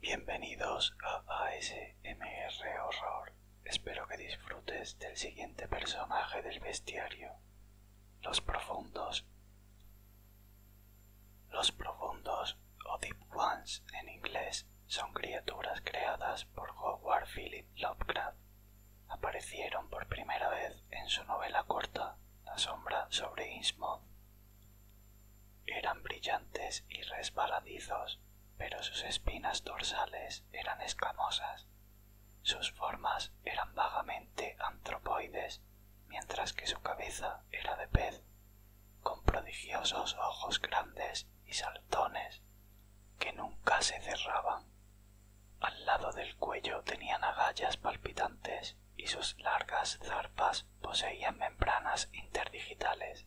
Bienvenidos a ASMR Horror. Espero que disfrutes del siguiente personaje del bestiario. Los profundos. Los profundos, o Deep Ones en inglés, son criaturas creadas por Howard Philip Lovecraft aparecieron por primera vez en su novela corta La sombra sobre ismod Eran brillantes y resbaladizos, pero sus espinas dorsales eran escamosas. Sus formas eran vagamente antropoides, mientras que su cabeza era de pez, con prodigiosos ojos grandes y saltones que nunca se cerraban. Al lado del cuello tenían agallas palpitantes y sus largas zarpas poseían membranas interdigitales.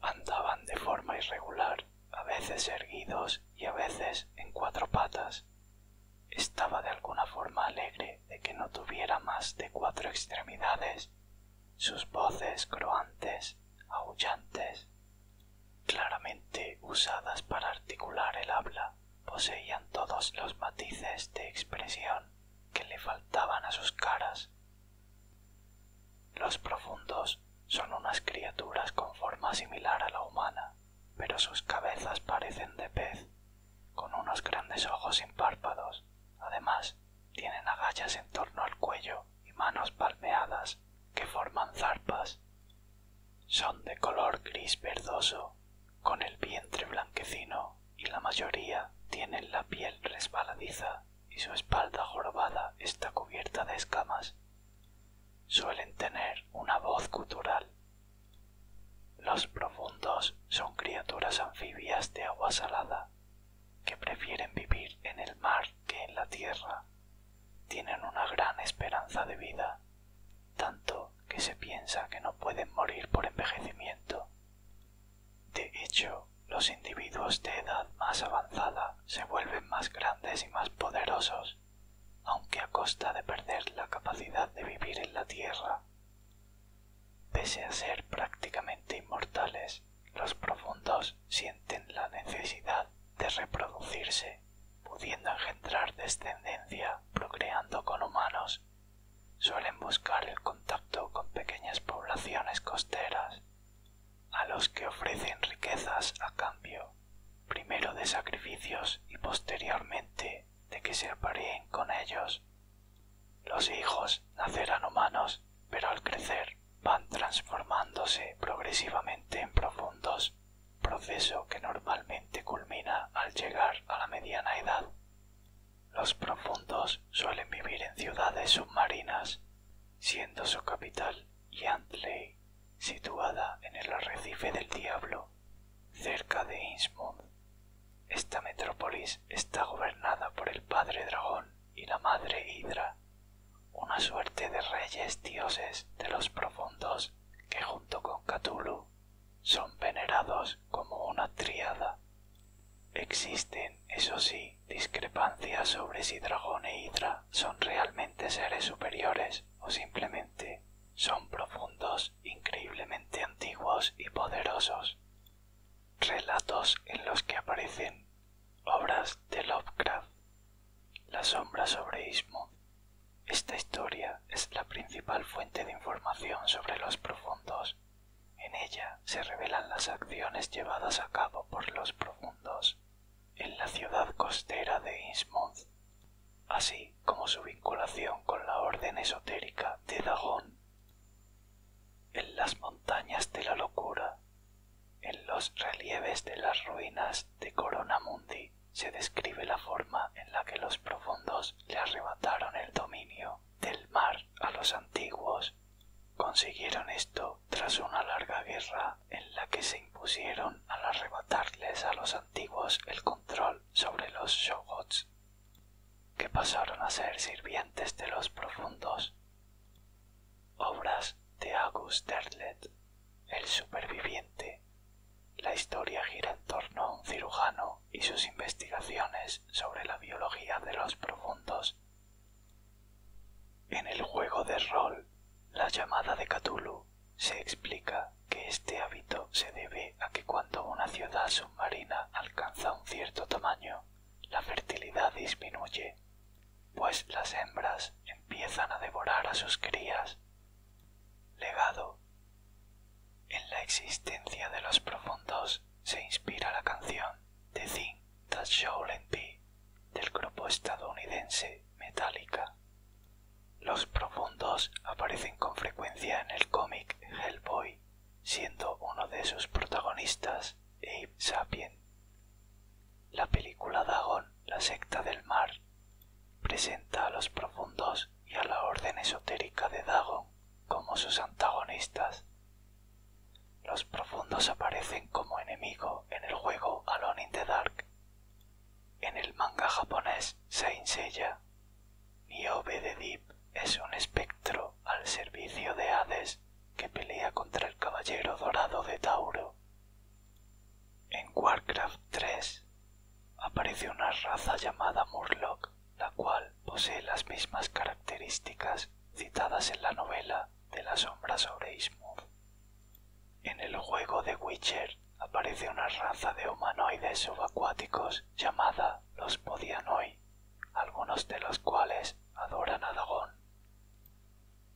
Andaban de forma irregular, a veces erguidos y a veces en cuatro patas. Estaba de alguna forma alegre de que no tuviera más de cuatro extremidades. Sus voces croantes, aullantes, claramente usadas para articular el habla, poseían todos los matices de expresión que le faltaban a sus caras. Los profundos son unas criaturas con forma similar a la humana, pero sus cabezas parecen de pez, con unos grandes ojos sin párpados. Además, tienen agallas en torno al cuello y manos palmeadas que forman zarpas. Son de color gris verdoso, con el vientre blanquecino y la mayoría tienen la piel resbaladiza y su espalda jorobada está cubierta de escamas. Suelen tener una voz gutural. Los profundos son criaturas anfibias de agua salada que prefieren vivir en el mar que en la tierra, tienen una gran esperanza de vida, tanto que se piensa que no pueden morir por envejecimiento. De hecho, los individuos de edad más avanzada se vuelven más grandes y más poderosos, aunque a costa de perder la capacidad de vivir en la tierra. Pese a ser prácticamente inmortales, los profundos sienten la necesidad de reproducirse, pudiendo engendrar descendencia procreando con humanos. Suelen buscar el contacto con pequeñas poblaciones costeras, a los que ofrecen riquezas a cambio, primero de sacrificios y posteriormente de que se apareen con ellos. Los hijos nacerán humanos, pero al crecer van transformándose progresivamente en profundos, proceso que normalmente culmina al llegar a la mediana edad. Los profundos suelen vivir en ciudades submarinas, siendo su capital Yantley, situada en el arrecife del Diablo, cerca de Innsmouth. Esta metrópolis está gobernada por el Padre Dragón, y la madre hydra una suerte de reyes dioses de los profundos que junto con Cthulhu son venerados como una triada Existen, eso sí, discrepancias sobre si Dragón e hydra son realmente seres superiores o simplemente son profundos, increíblemente antiguos y poderosos relatos en los que aparecen obras de Lovecraft. La sombra sobre Ismuth Esta historia es la principal fuente de información sobre los profundos. En ella se revelan las acciones llevadas a cabo por los profundos en la ciudad costera de Innsmouth, así como su vinculación con la orden esotérica de Dagon en las montañas de la locura, en los relieves de las ruinas de Corona se describe la forma en la que los profundos le arrebataron el dominio del mar a los antiguos. Consiguieron esto tras una larga guerra en la que se impusieron al arrebatarles a los antiguos el control sobre los que pasaron a ser sirvientes de los profundos. Obras de August Derlet, el superviviente. La historia gira en torno a un cirujano y sus investigaciones sobre la biología de los profundos. En el juego de rol, la llamada de Cthulhu, se explica que este hábito se debe a que cuando una ciudad submarina alcanza un cierto tamaño, la fertilidad disminuye, pues las hembras empiezan a devorar a sus crías. Legado. En la existencia de los profundos se inspira la canción The Thing That Shouldn't Be del grupo estadounidense Metallica. Los profundos aparecen con frecuencia en el cómic Hellboy siendo uno de sus protagonistas Abe Sapien. La película Dagon, la secta del mar, presenta a los profundos y a la orden esotérica de Dagon como sus antagonistas. Los profundos aparecen como enemigo en el juego Alone in the Dark. En el manga japonés se Deep es un espectro al servicio de Hades que pelea contra el caballero dorado de Tauro. En Warcraft 3 aparece una raza llamada Murloc, la cual posee las mismas características citadas en la novela de la sombra sobre Ismuth. En el juego de Witcher aparece una raza de humanoides subacuáticos llamada los Podianoi, algunos de los cuales adoran a Dagon.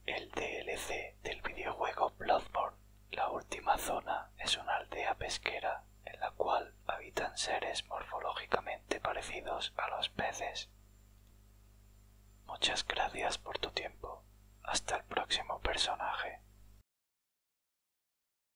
El DLC del videojuego Bloodborne, la última zona, es una aldea pesquera en la cual habitan seres morfológicamente parecidos a los peces. Muchas gracias por tu tiempo. Hasta el próximo personaje.